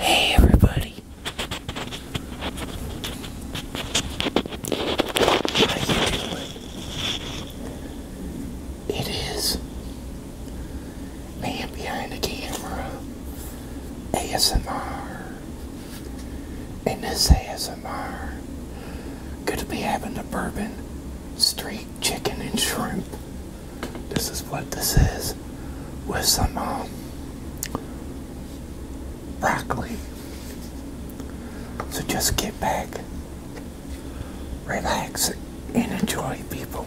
Hey everybody. How you doing? It is man behind the camera ASMR and this ASMR. Gonna be having the bourbon street chicken and shrimp. This is what this is with some um, broccoli. So just get back, relax, and enjoy, people.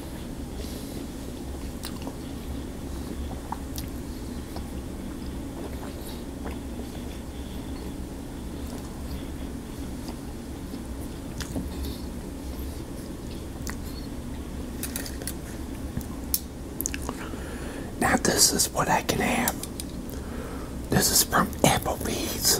Now this is what I can have. This is from Applebee's.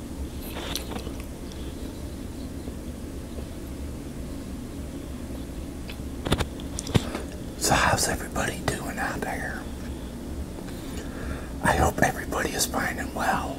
So how's everybody doing out there? I hope everybody is fine and well.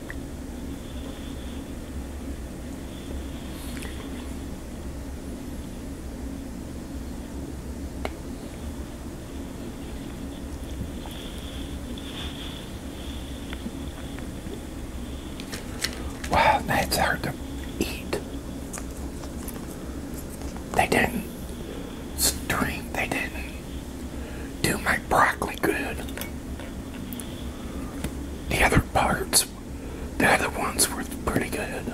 Wow, that's hard to eat. They didn't stream, they didn't do my broccoli good. The other parts, the other ones were pretty good.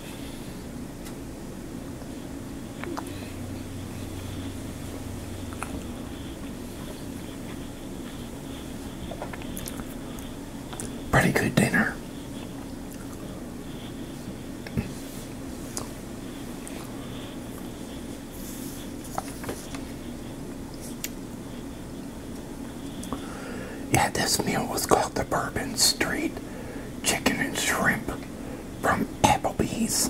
Pretty good dinner. Yeah, this meal was called the Bourbon Street Chicken and Shrimp from Applebee's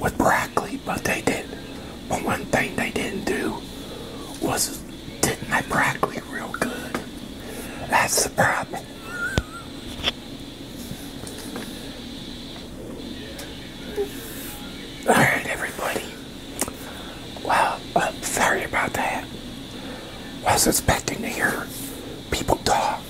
with broccoli, but they did. But one thing they didn't do was did my broccoli real good. That's the problem. Alright, everybody. Well, I'm sorry about that. Was expecting to hear people talk.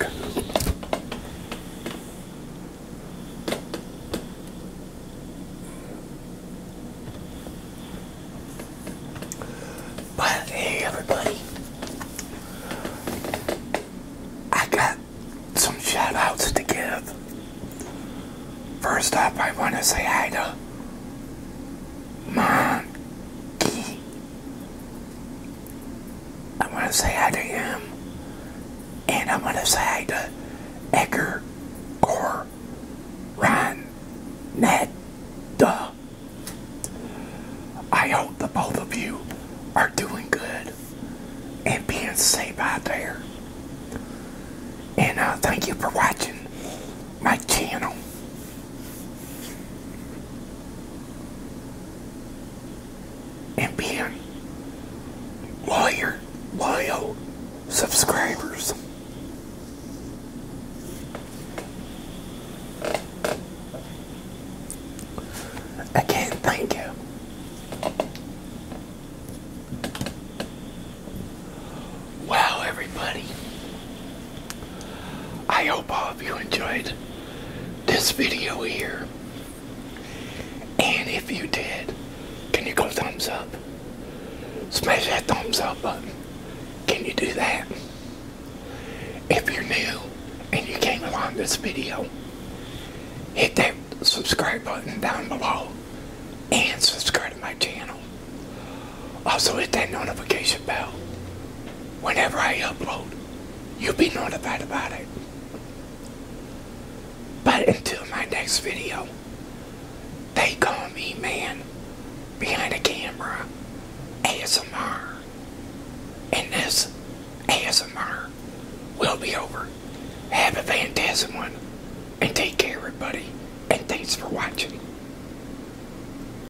But hey, everybody, I got some shout outs to give. First up, I want to say hi to Monkey I'm going to say hi to him. And I'm going to say hi to Edgar Gore Ron Ned Duh. I hope that both of you are doing good and being safe out there. And uh, thank you for watching my channel. And being loyal, loyal subscribers. Again, thank you. Wow, everybody. I hope all of you enjoyed this video here. And if you did, can you go thumbs up? Smash that thumbs up button. Can you do that? If you're new and you came along this video, hit that subscribe button down below and subscribe to my channel. Also hit that notification bell. Whenever I upload, you'll be notified about it. But until my next video, they call me man behind the camera ASMR. And this ASMR will be over. Have a fantastic one. And take care, everybody. And thanks for watching.